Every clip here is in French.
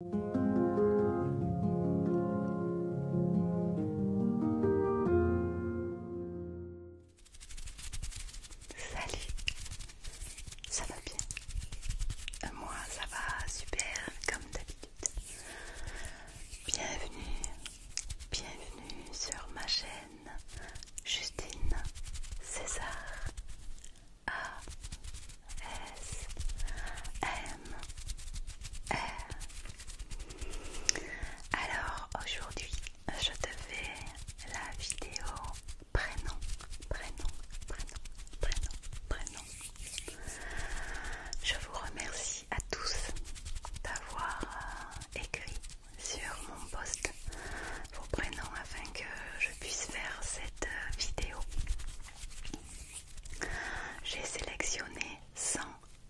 Salut, ça va bien euh, Moi ça va super comme d'habitude. Bienvenue, bienvenue sur ma chaîne Justine César a S M R Alors aujourd'hui, je te fais la vidéo prénom, prénom, prénom, prénom, prénom. Je vous remercie à tous d'avoir euh, écrit sur mon post vos prénoms afin que je puisse faire cette euh, vidéo. J'ai sélectionné 100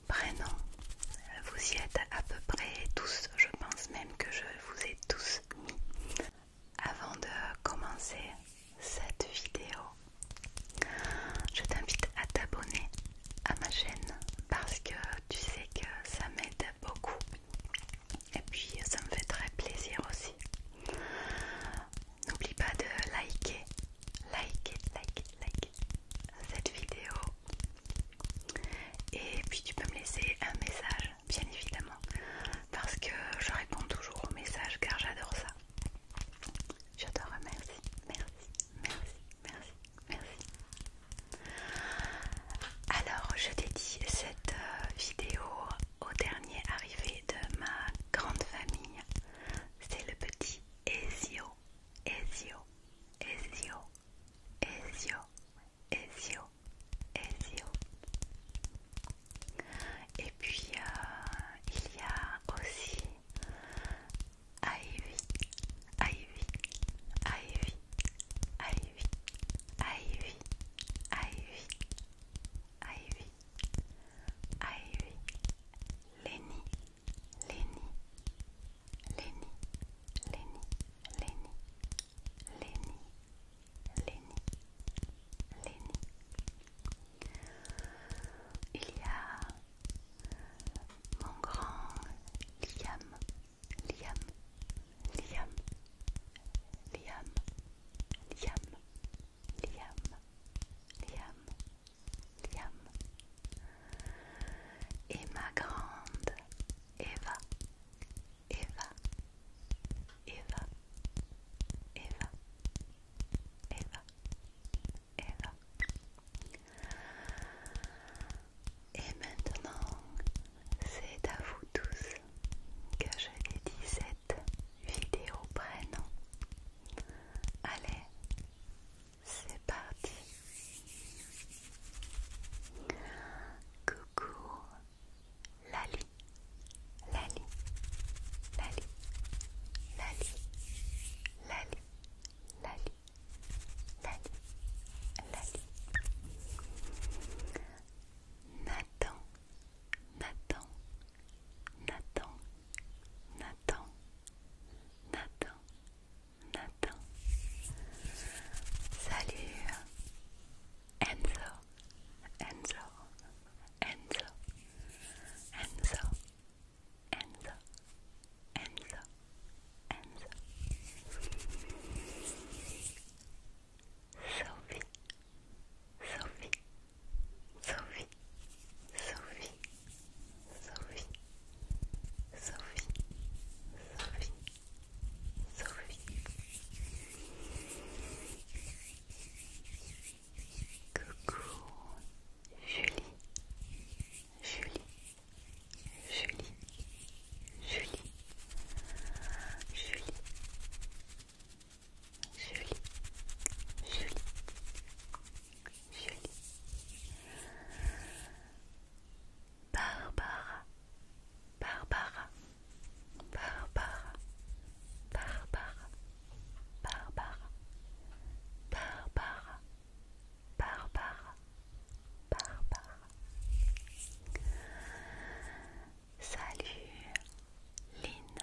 prénoms. Vous y êtes à peu près tous, je pense même que je vous ai tous mis. Avant de commencer cette vidéo, je t'invite à t'abonner à ma chaîne parce que tu sais que ça m'aide beaucoup et puis ça me fait très plaisir aussi. N'oublie pas de liker, liker, liker, liker cette vidéo. Et puis tu peux me laisser un message, bien évidemment, parce que je réponds toujours aux messages car j'adore ça. Je te remercie, merci, merci, merci, merci. Alors je t'ai dit, cette euh, vidéo au dernier arrivé de ma grande famille. C'est le petit Ezio, Ezio, Ezio, Ezio, Ezio, Ezio. Et puis euh, il y a aussi Ivy, Ivy, Ivy, Ivy, Ivy, Ivy, Ivy. Aïe, ah Lenny, Lenny, Lenny, Lenny, Lenny, Lenny, Lenny, Il y a mon grand Liam, Liam, Liam, Liam, Liam, Liam, Liam, Liam. Et ma grande Eva, Eva, Eva, Eva, Eva, Eva. Et maintenant, c'est à vous tous que je les cette vidéo prénom. Allez, c'est parti. Coucou, Lali, Lali, Lali, Lali, Lali, Lali, Lali, Lali. Nathan, Nathan, Nathan, Nathan, Nathan, Nathan. Salut Enzo, Enzo, Enzo, Enzo, Enzo, Enzo, Enzo. Sophie, Sophie, Sophie, Sophie, Sophie, Sophie, Sophie, Sophie. Coucou, Julie, Julie, Julie, Julie, Julie. Julie, Julie, Julie, Barbara, Barbara, Barbara, Barbara, Barbara, Barbara, Barbara, Barbara. Salut, Lynn.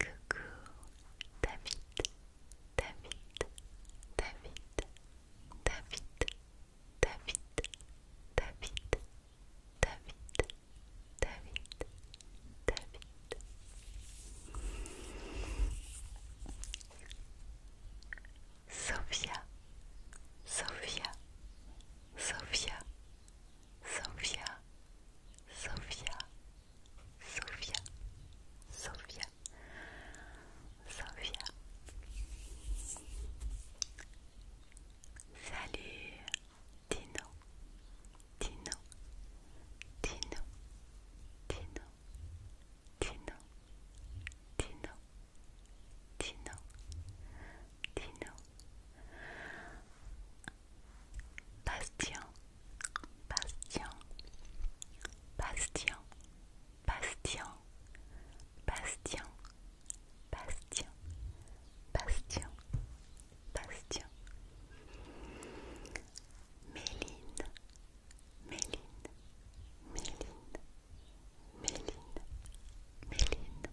Coucou David, David, David, David, David, David, David, David, David. Sophia, Sophia, Sophia, Sophia, Sophia, Sophia, Sophia, Sophia. Salut, Dino, Dino, Dino, Dino, Dino, Dino, Dino, Bastien, Bastien, Bastien, Bastien, Bastien, Bastien, Bastien, Bastien. Méline, Méline, Méline, Méline, Méline,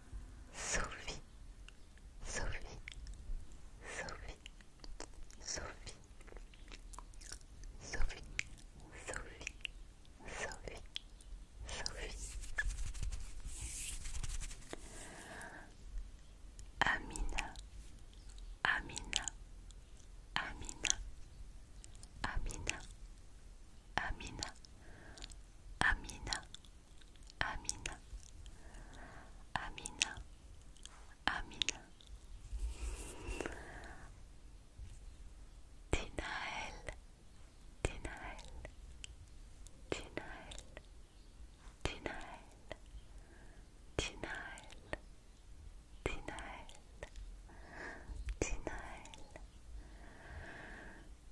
Sophie, Sophie, Sophie, Sophie, Sophie, Sophie, Sophie, Sophie. Amina, Amina, Amina, Amina, Amina, Amina. Amina, Amina, Amina. Dinaël, Dinaël, Dinaël, Dinaël, Dinaël, Dinaël, Dinaël.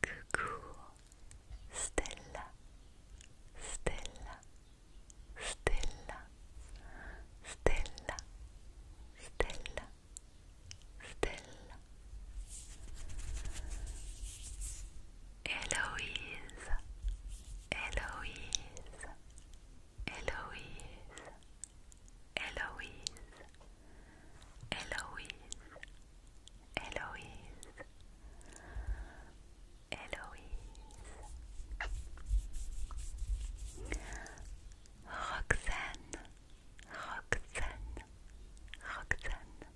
Coucou, stella, stella, stella, stella, stella, stella. Eloise, Eloise, Eloise, Eloise, Eloise. Héloïse, Héloïse, Roxane, Roxane, Roxane,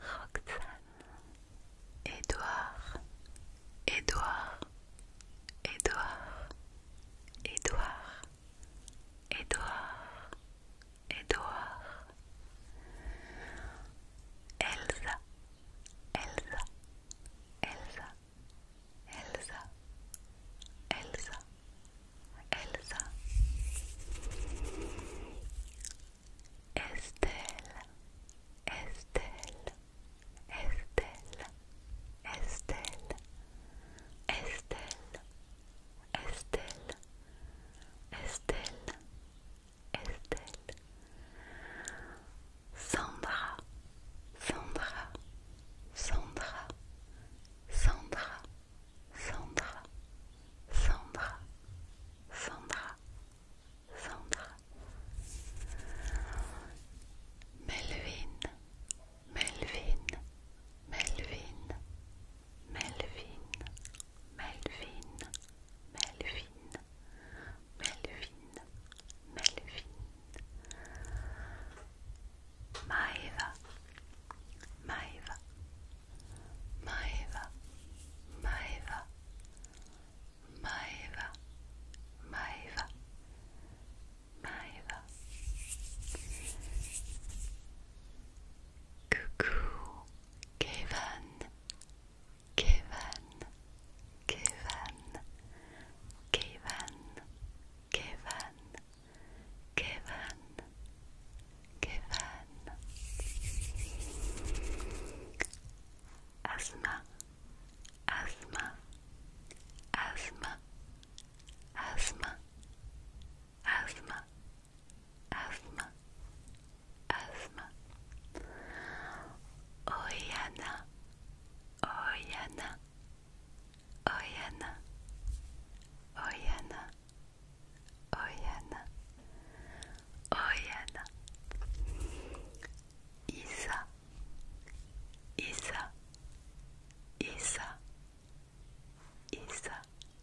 Roxane, Édouard, Édouard, Edouard Édouard, Édouard, Edouard, Elsa, Elsa, Elsa, Elsa, Elsa, Elsa, Estelle, Estelle, Estelle, Estelle, Estelle, Estelle. Estelle, Estelle, Sandra, Sandra, Sandra, Sandra, Sandra, Sandra, Sandra, Sandra, Melvin, Melvin, Melvin, Melvin, Melvin, Melvin, Melvin, Melvin, Maeva, Maeva, Maeva, Maeva, Maeva, Maeva, Maeva. Coucou, Kevin, Kevin, Kevin, Kevin, Kevin, Kevin, Kevin. Asthma, asthma, asthma, asthma, asthma, asthma, asthma. Oyana, oyana, oyana, oyana, oyana, oyana. Isa, isa, isa, isa.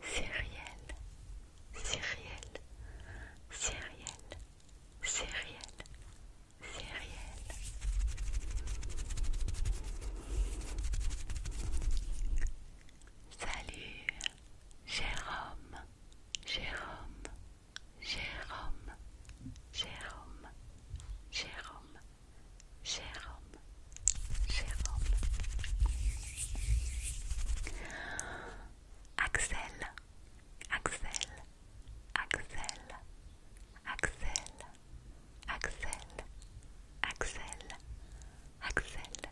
réel, c'est réel, c'est réel. Salut, Jérôme, Jérôme, Jérôme, Jérôme, Jérôme. Jérôme, Jérôme, Axel, Axel, Axel, Axel, Axel, Axel, Axel,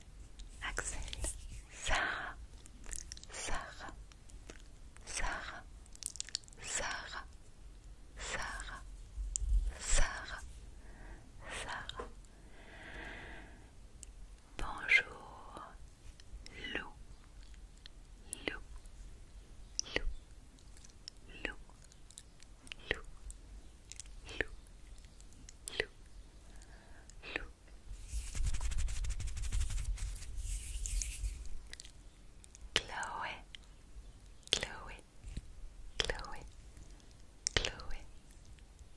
Axel, Sarah, Sarah, Sarah, Sarah, Sarah, Sarah, Sarah. Bonjour, Lou Lou Lou Lou Lou Lou Lou Chloé, Chloé, Chloe, Chloe,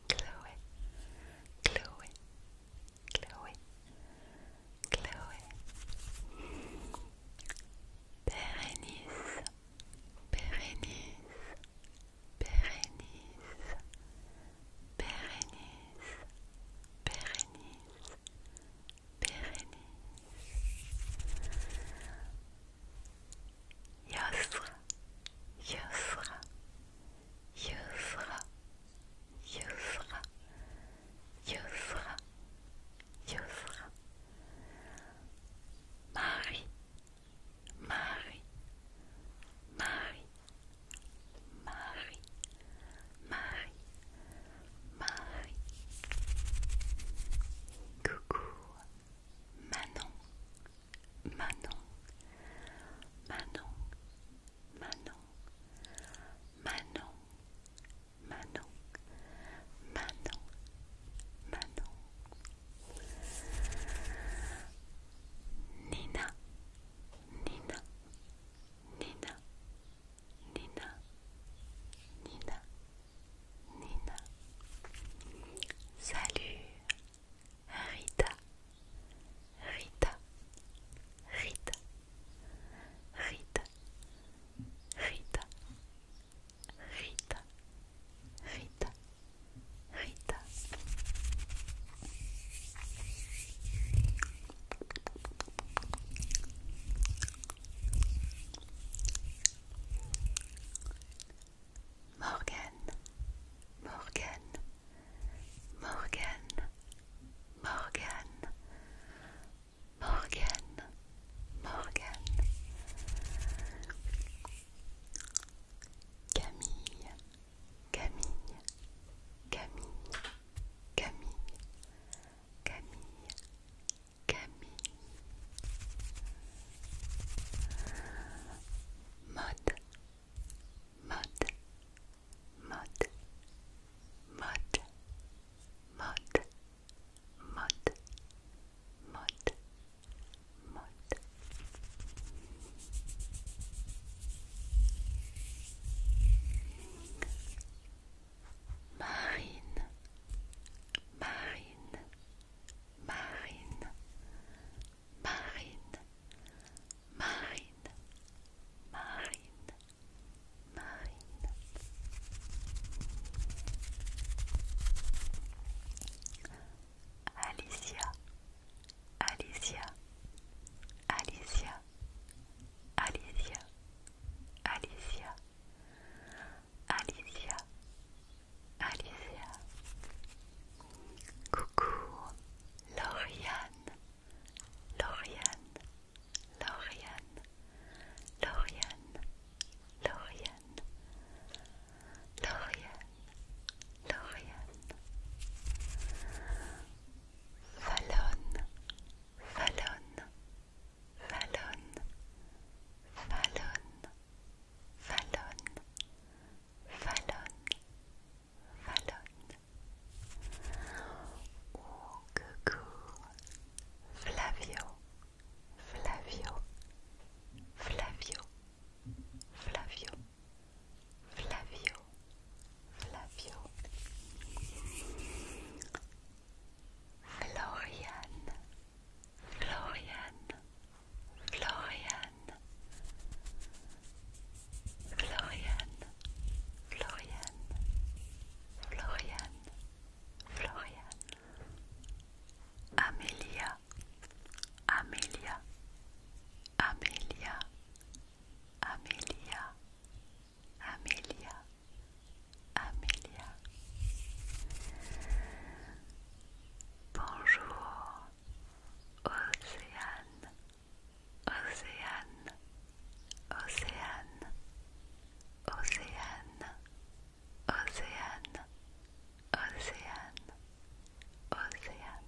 Chloe, Chloe, Chloe, Chloe, Berenice, Berenice, Berenice, Berenice, Berenice, Berenice. Yasra, Yasra, Yasra, Yasra, Yasra, Yasra. Mari, Mari, Mari, Mari, Mari, Mari. Coucou, Manon. Manon, Manon, Manon, Manon, Manon, Manon, Manon. Nina, Nina, Nina, Nina, Nina, Nina. Salut, Rita, Rita, Rita, Rita, Rita, Rita, Rita, Rita. Morgan, Morgan, Morgane, Morgan, Morgan, Morgan, Camille, Camille, Camille, Camille, Camille, Camille. mud, mud, mud, mud, mud, mud, mud, mud. Marine, marine, marine, marine, marine, marine, marine. Alicia, Alicia, Alicia, Alicia, Alicia, Alicia, Alicia. Coucou Lauriane. Lauriane. Lauriane. Lauriane. Lauriane. Lauriane. Lauriane. Fallonne. Fallonne. Fallonne. Fallonne. Fallonne vallonne, vallonne. Oh, Flavio, Flavio, Flavio, Flavio, Flavio, Flavio. Florian, Florian, Floriane, Floriane, Floriane, Floriane, Floriane, Amelia, Amelia, Amelia, Amelia, Amelia, Amélia. Bonjour, Ocean, Ocean, Ocean, Ocean, Ocean, Ocean, Ocean.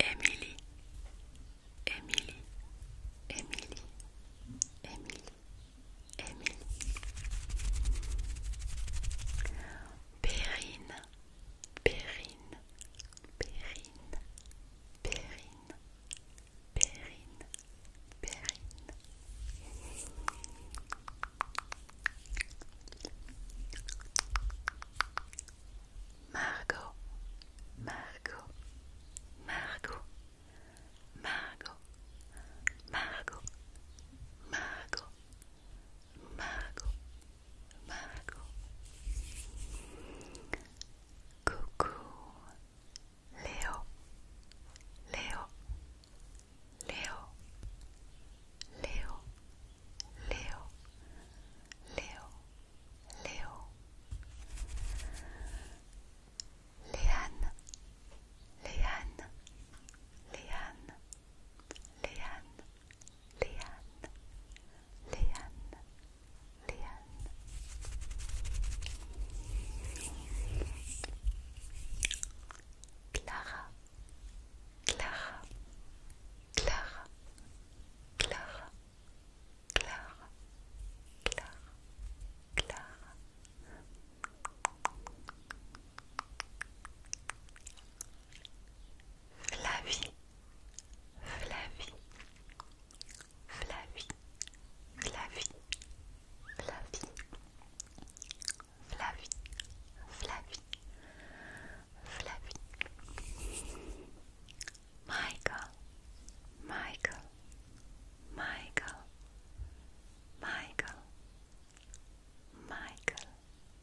Emily, Emily, Emily, Emily, Emily. Périne, Périne, Périne, Périne, Périne, Périne. Margot, Margot, Margot, Margot, Margot, Margot, Mago, Mago, Cuckoo, Leo, Leo, Leo, Leo, Leo, Leo, Leo, Leanne, Leanne, Leanne. Leanne, Leanne, Leanne, Leanne. Clara, Clara, Clara, Clara, Clara, Clara, Clara. Flavie, Flavie, Flavie, Flavie, Flavie, Flavie, Flavie, Flavie, Michael, Michael, Michael, Michael, Michael.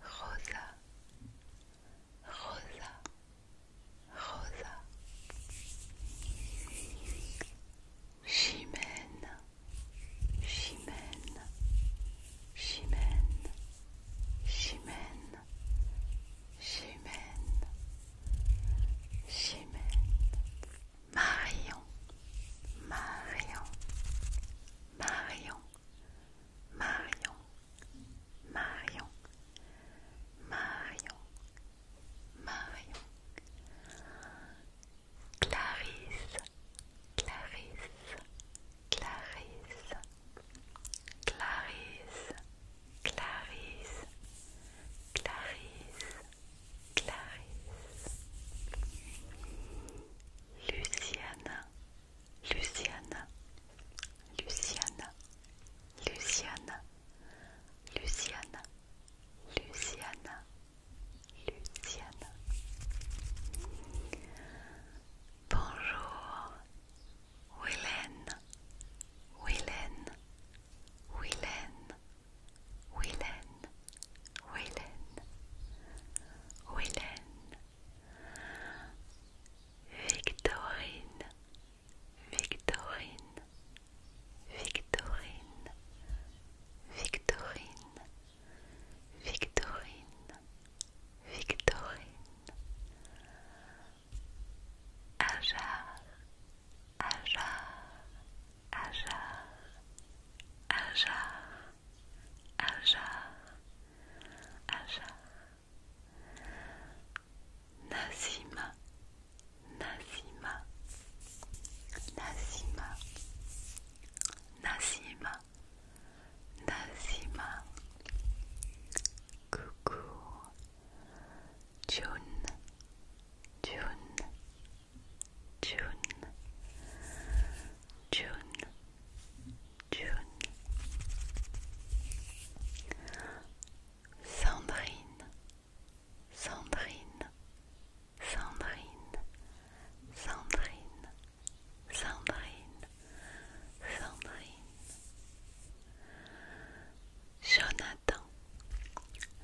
rosa, rosa, rosa, chimène, chimène, chimène, chimène, chimène, chimène, marion, marion. Marion, Marion, Marion, Marion, Marion, Clarisse, Clarisse, Clarisse, Clarisse, Clarisse, Clarisse, Clarisse. Luciana, Luciana, Luciana, Luciana, Luciana, Luciana, Luciana. Bonjour, Willen, Willen, Willen, Willen, Wellen, Willen, Victorine, Victorine, Victorine, Victorine, Victorine, Victorine, Ajar, Ajar, Ajar, Ajar. Aja, Aja, Nazima, Nazima, Nazima, Nazima, Nazima, Coucou, June, June, June, June, June. Sandrine, Sandrine, Sandrine, Sandrine, Sandrine, Sandrine. Jonathan,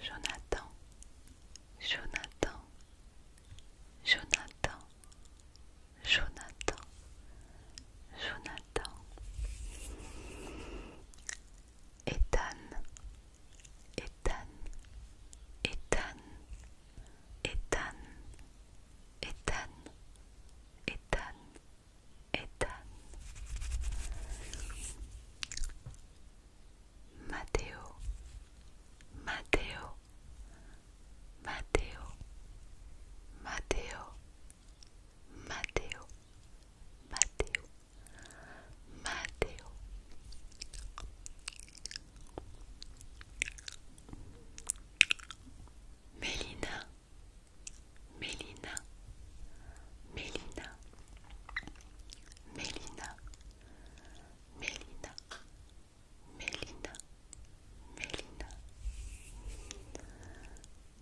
Jonathan, Jonathan, Jonathan. Jonathan, Jonathan, Ethan, Ethan, Ethan, Ethan, Ethan, Ethan, Ethan, Matteo, Matteo, Mateo, Mateo, Mateo, Mateo, Mateo. Melina, Melina, Melina, Melina, Melina, Mélina, Mélina.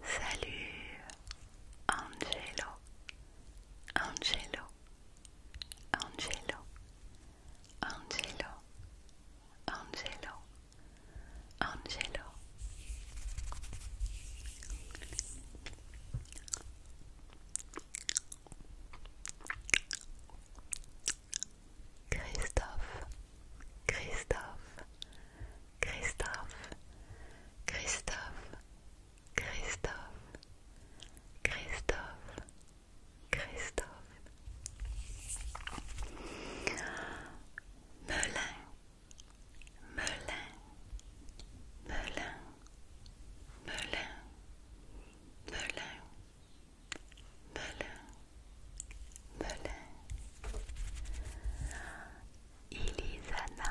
Salut, Angelo, Angelo, Angelo, Angelo, Angelo, Angelo. Christophe, Christophe, Christophe, Christophe, Christophe, Christophe, Christophe. Melun, Melun, Melin, Melin. Melun, Melun, Ilizana,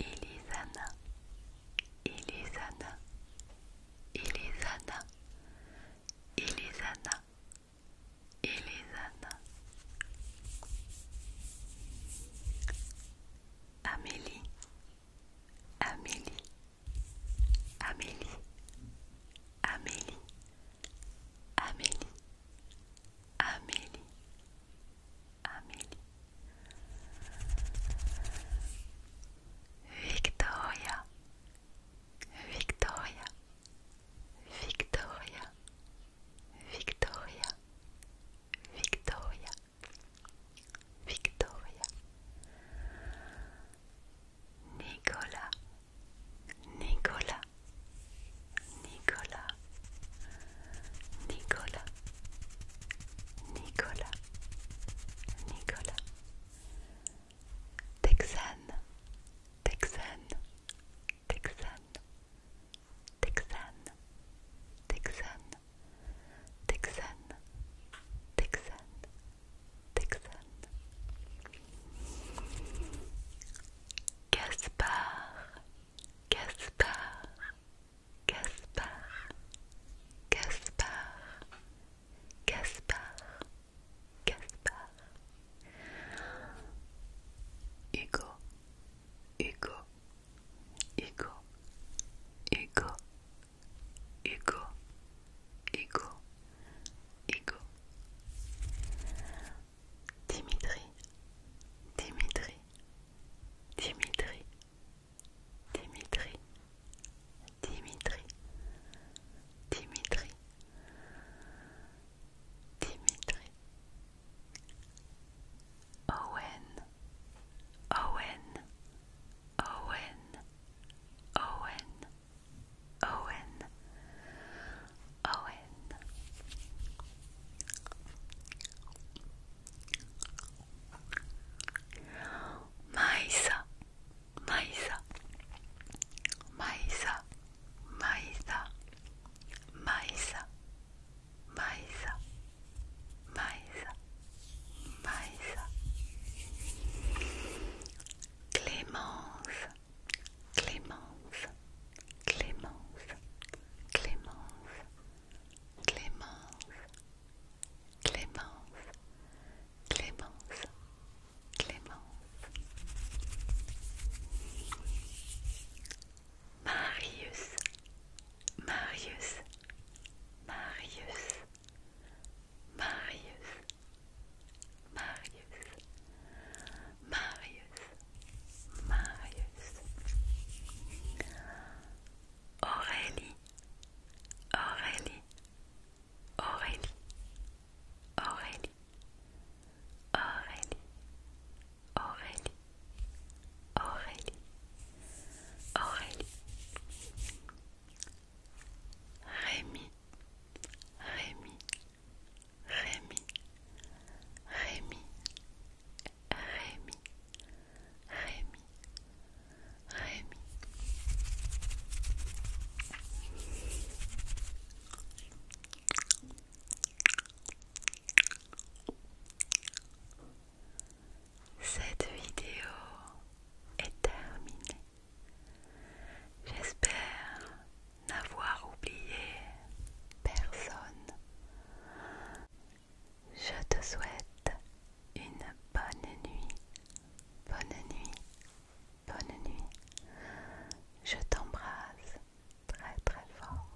Ilizana, Ilizana, Ilizana, Ilizana, Ilizana, Amélie, Amélie. Amélie, Amélie, Amélie, Amélie, Amélie, Amélie. Victoria, Victoria, Victoria, Victoria, Victoria, Victoria. Nicola, Nicola, Nicola, Nicola, Nicola, Nicola, Texan, Texan, Texan, Texan, Texan, Texan, Texan. Texan Gaspard Gaspard Gaspard Gaspard Gaspard Gaspard Hugo Hugo Hugo Hugo Hugo Hugo Ego Dimitri Dimitri Dimitri Dimitri Dimitri Dimitri Dimitri Owen Owen Owen Owen Owen, Owen. Maisa, Maisa, Maisa, Maisa, Maisa, Maisa, Maisa, Clémence, Clémence, Clémence, Clémence, Clémence, Clémence, Clémence, Clémence. Marius, Marius, Marius, Marius, Marius, Marius, Marius, Aurélie, Aurélie, Aurélie, Aurélie, Aurélie, Aurélie, Aurélie, Aurélie, Rémi, Rémi, Rémi, Rémi, Rémi, Rémi, Rémi. Cette vidéo est terminée. J'espère n'avoir oublié personne. Je te souhaite une bonne nuit, bonne nuit, bonne nuit. Je t'embrasse très très fort.